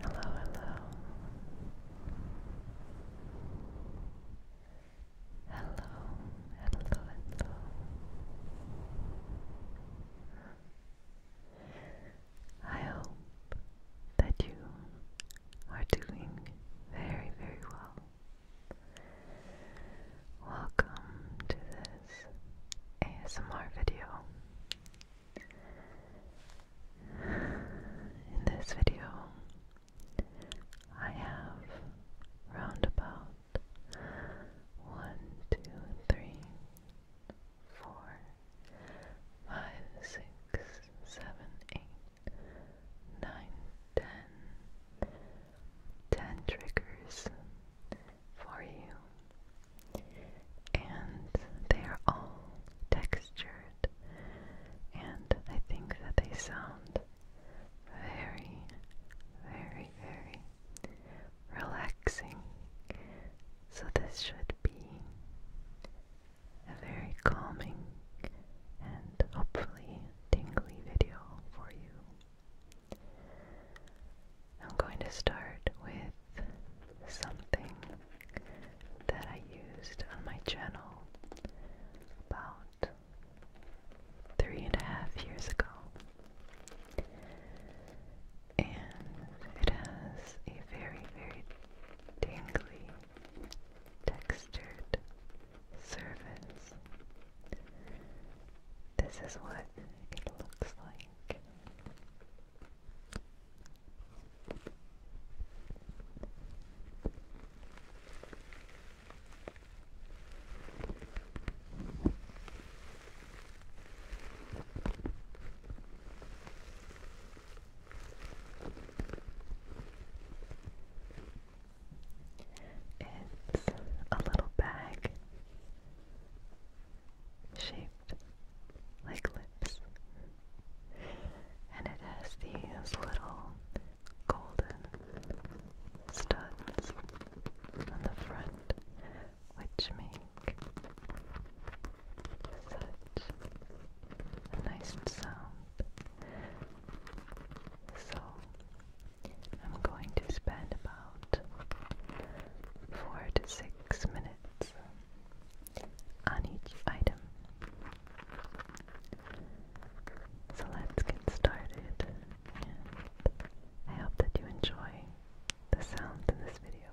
Hello, hello. Hello, hello, I hope that you are doing very, very well. Welcome to this ASMR video. In this video, I have roundabout one, two, three, four, five, six, seven, eight. 9, triggers for you, and they are all textured, and I think that they sound very, very, very relaxing. So, this should be a very calming and hopefully tingly video for you. I'm going to start with something that I used on my channel about three and a half years ago. And it has a very, very tingly textured servants. This is what it looks like. It's a little bag shaped like lips, and it has these little golden studs on the front, which make such a nice sound. So I'm going to spend about four to six minutes on each item. So let's get started, and I hope that you enjoy the sounds in this video.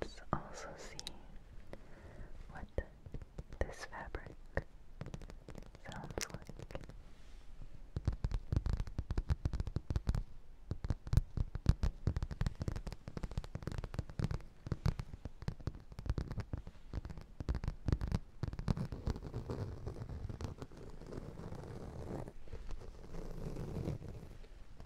Let's also see what this fabric sounds like.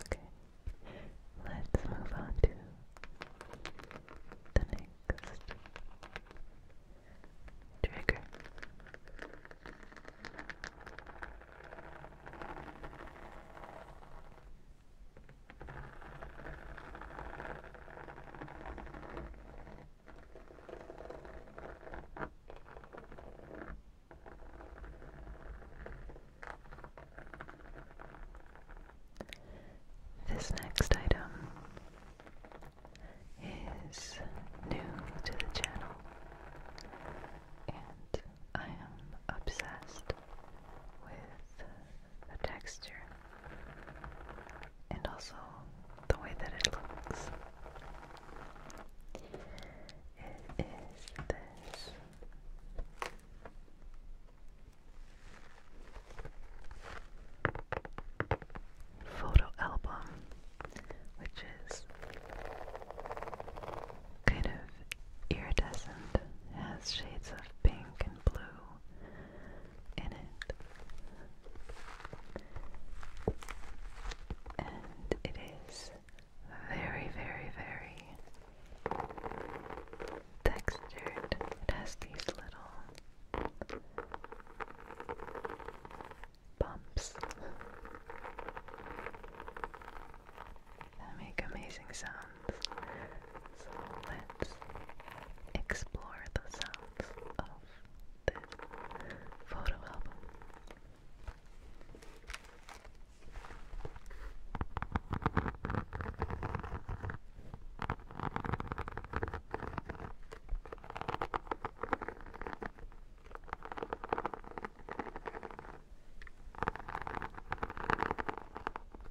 Okay, let's move on to the next trigger. This next item is new to the channel, and I am obsessed with the texture and also the way that it looks. It is this. Photo album, which is kind of iridescent, has shades of pink and blue in it. And it is very, very, very textured. It has these little bumps that make amazing sounds. So let's explore the sounds of this photo album.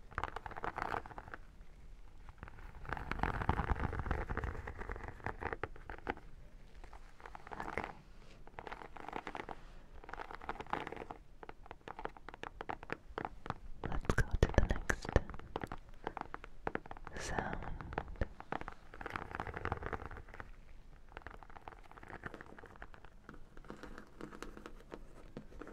Let's go to the next sound. The next item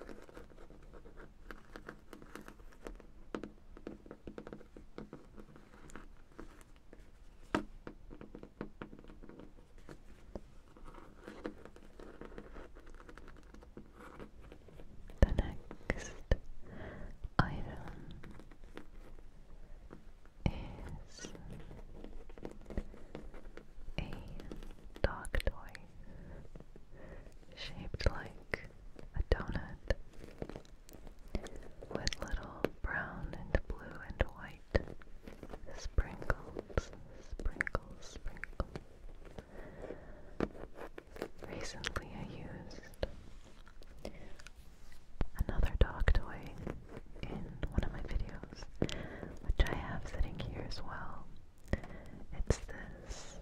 is a dog toy shaped like a donut with little brown and blue and white sprinkles, sprinkles, sprinkles. Recently, I used another dog toy in one of my videos, which I have sitting here as well. It's this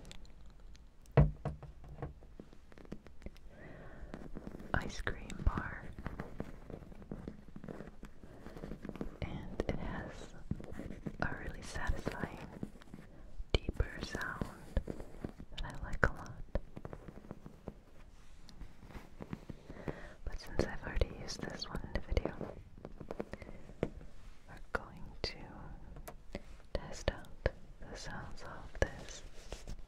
ice cream bar, and it has a really satisfying, deeper sound that I like a lot. But since I've already used this one in a video, we're going to test out the sounds of this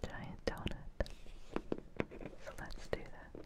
giant donut. So let's do that.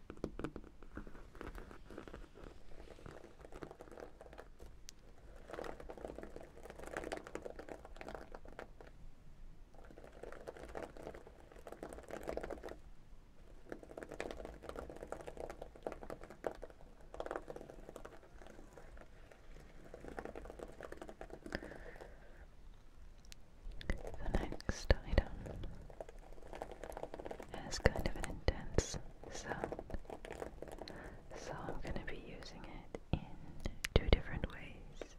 The next item it's kind of an intense sound. So I'm going to be using it in two different ways.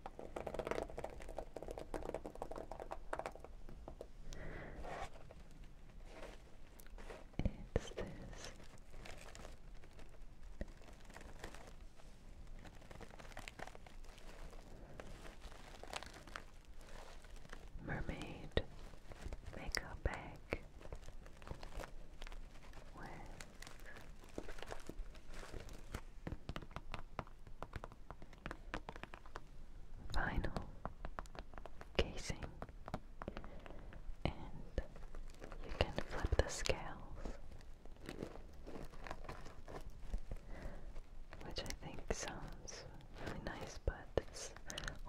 It's this mermaid makeup bag with vinyl casing and you can flip the scales which I think sounds really nice, but it's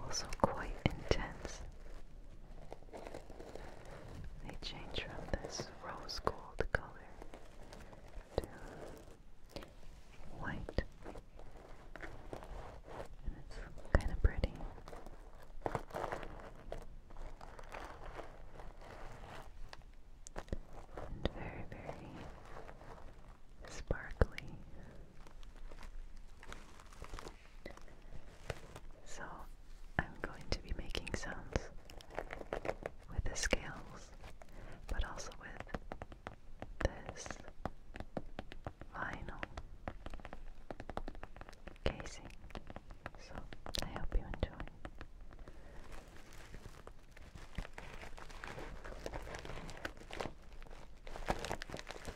also quite intense. They change from this rose gold color to white, and it's kind of pretty. And very, very sparkly. So, I'm going to be making sounds with the scales, but also with this vinyl casing. So, I hope you enjoy.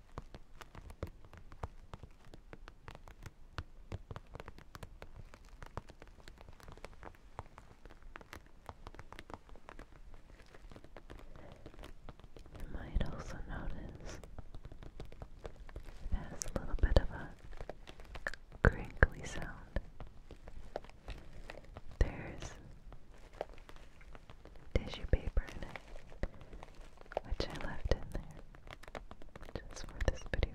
You might also notice it has a little bit of a crinkly sound. There's tissue paper in it, which I left in there just for this video.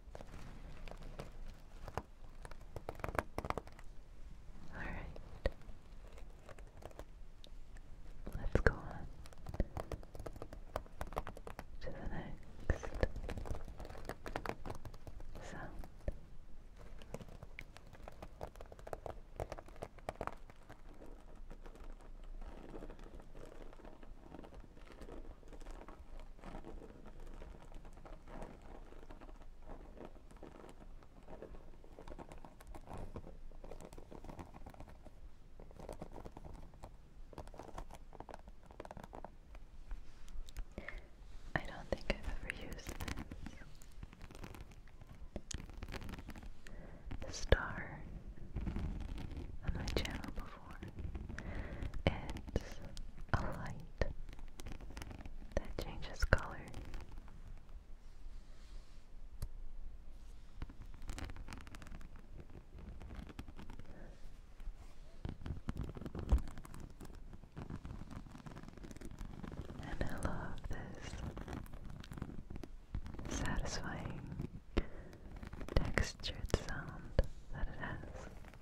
Alright. Let's go on to the next sound. I don't think I've ever used this star on my channel before for. a light that changes color. And I love this satisfying textured sound that it has.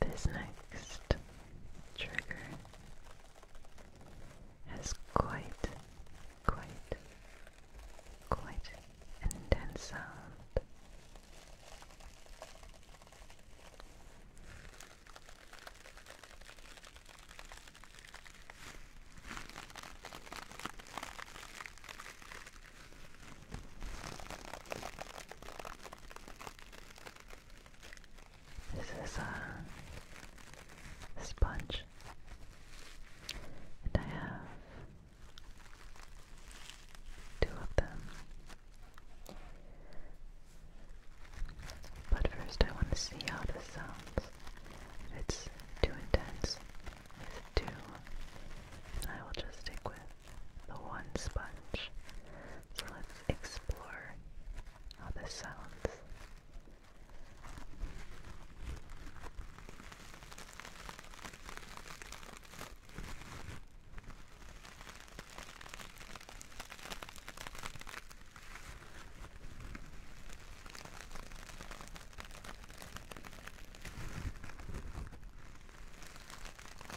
This next trigger has quite, quite, quite intense sound. This is a sponge, and I have two of them. But first, I want to see how this sounds. If it's too intense, I will just stick with the one sponge. So let's explore how this sounds.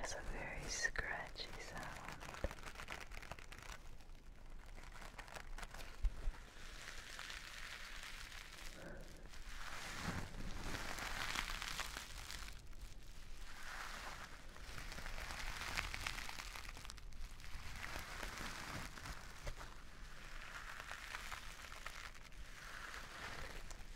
has a very scratchy sound.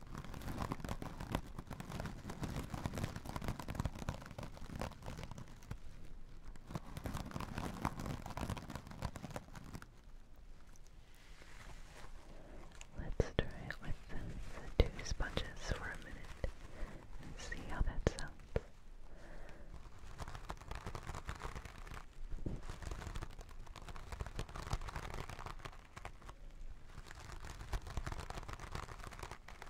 Let's try it with the, two sponges for a minute and see how that sounds.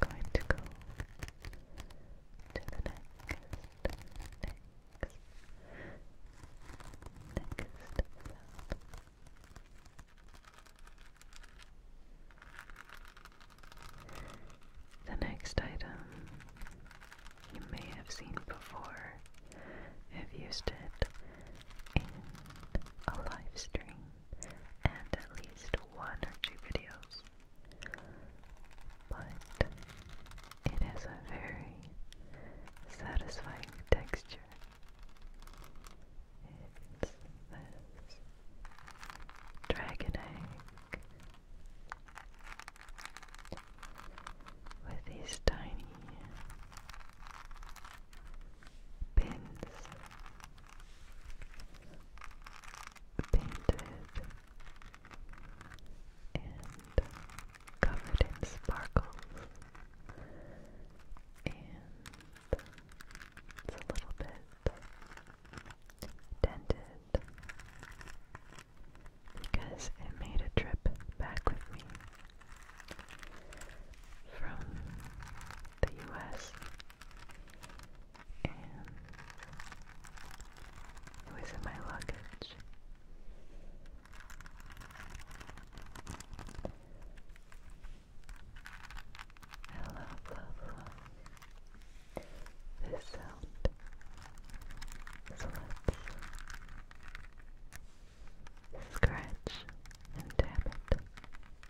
going to go to the next, next, next The next item you may have seen before. I've used it in a live stream and at least one or two videos. But it has a very satisfying texture. It's this dragon egg with these tiny pins painted and covered in sparkles and it's a little bit dented because it made a trip back with me from the US and it was in my luggage. I love, love, this sound. So scratch and tap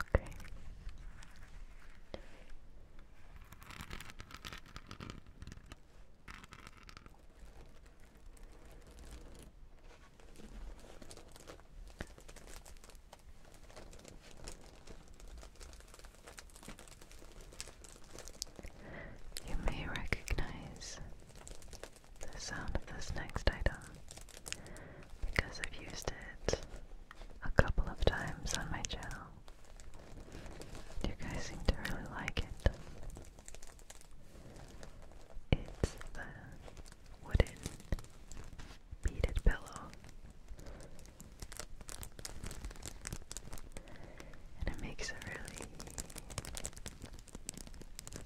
Okay. You may recognize the sound of this next item because I've used it a couple of times on my channel. You guys seem to really like it. It's the wooden beaded pillow. And it makes a really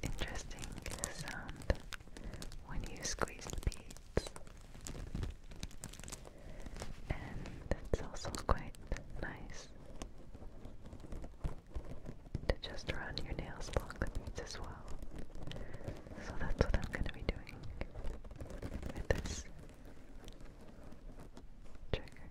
interesting sound when you squeeze beads. And it's also quite nice to just run your nails along the beads as well. So that's what I'm going to be doing with this trigger.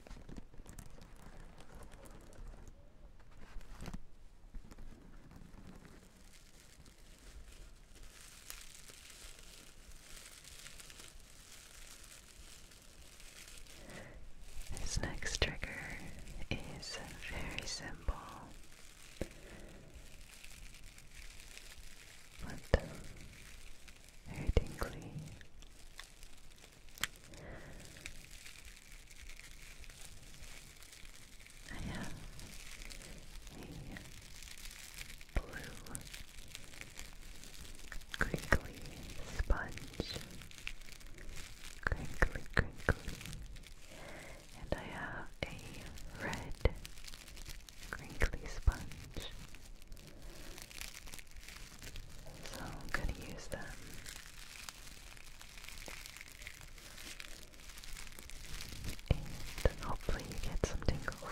This next trigger is very simple. But very I have a blue crinkly sponge, crinkly, crinkly, and I have a red crinkly sponge. So I'm going to use them. And hopefully you get some tingles.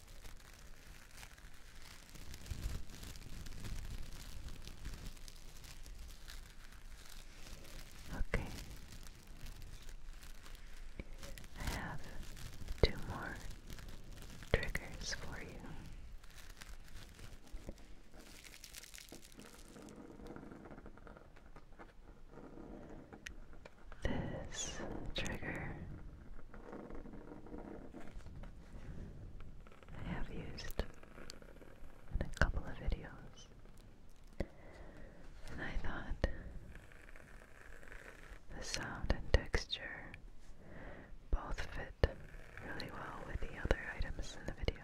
Okay. I have two more triggers for you this trigger. I have used in a couple of videos, and I thought the sound and texture both fit really well with the other items in the video.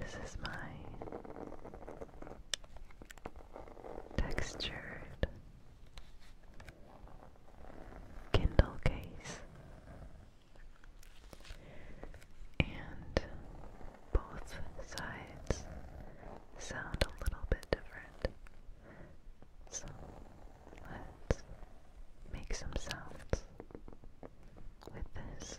This is my textured Kindle case, and both sides sound a little bit different. So let's make some sounds with this.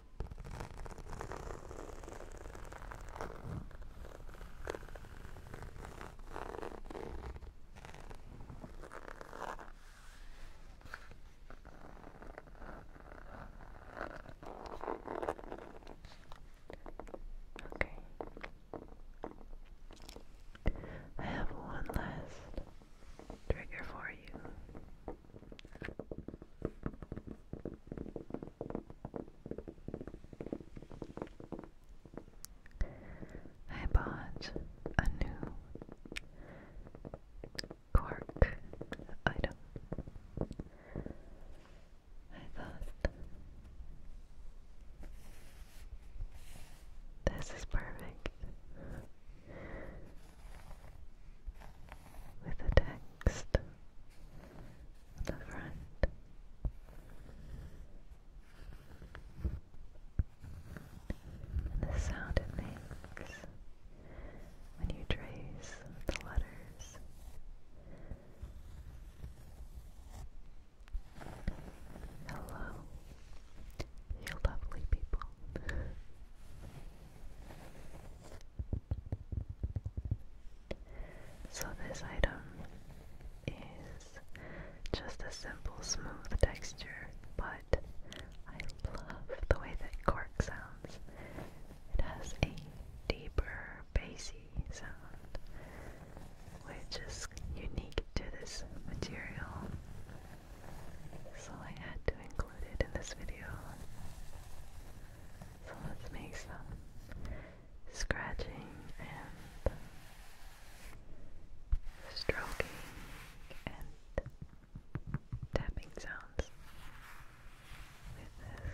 Okay. I have one last trigger for you. I bought a new cork item. I thought this is perfect with a text the front. the sound it makes when you trace the letters. Hello, you lovely people. So this item is just a simple smooth texture, but I love the way that cork sounds. It has a deeper bassy sound, which is unique to this material. So I had to include it in this video. So let's make some scratching and stroking and tapping sounds with this.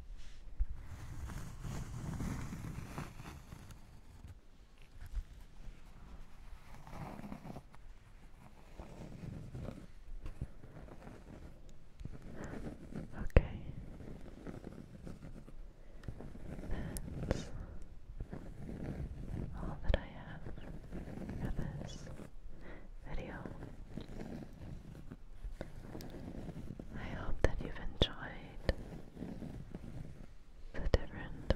Okay. That's all that I have this video. I hope that you've enjoyed the different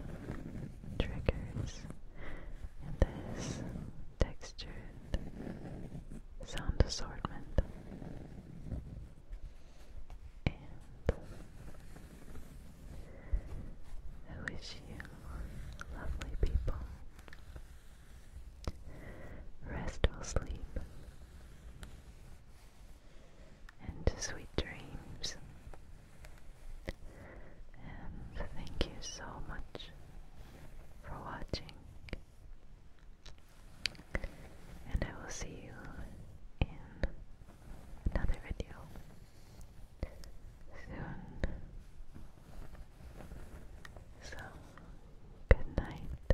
triggers this textured sound assortment. And I wish you, lovely people, rest or sleep and sweet dreams. And thank you so much for watching. And I will see you in another video soon. So, good night.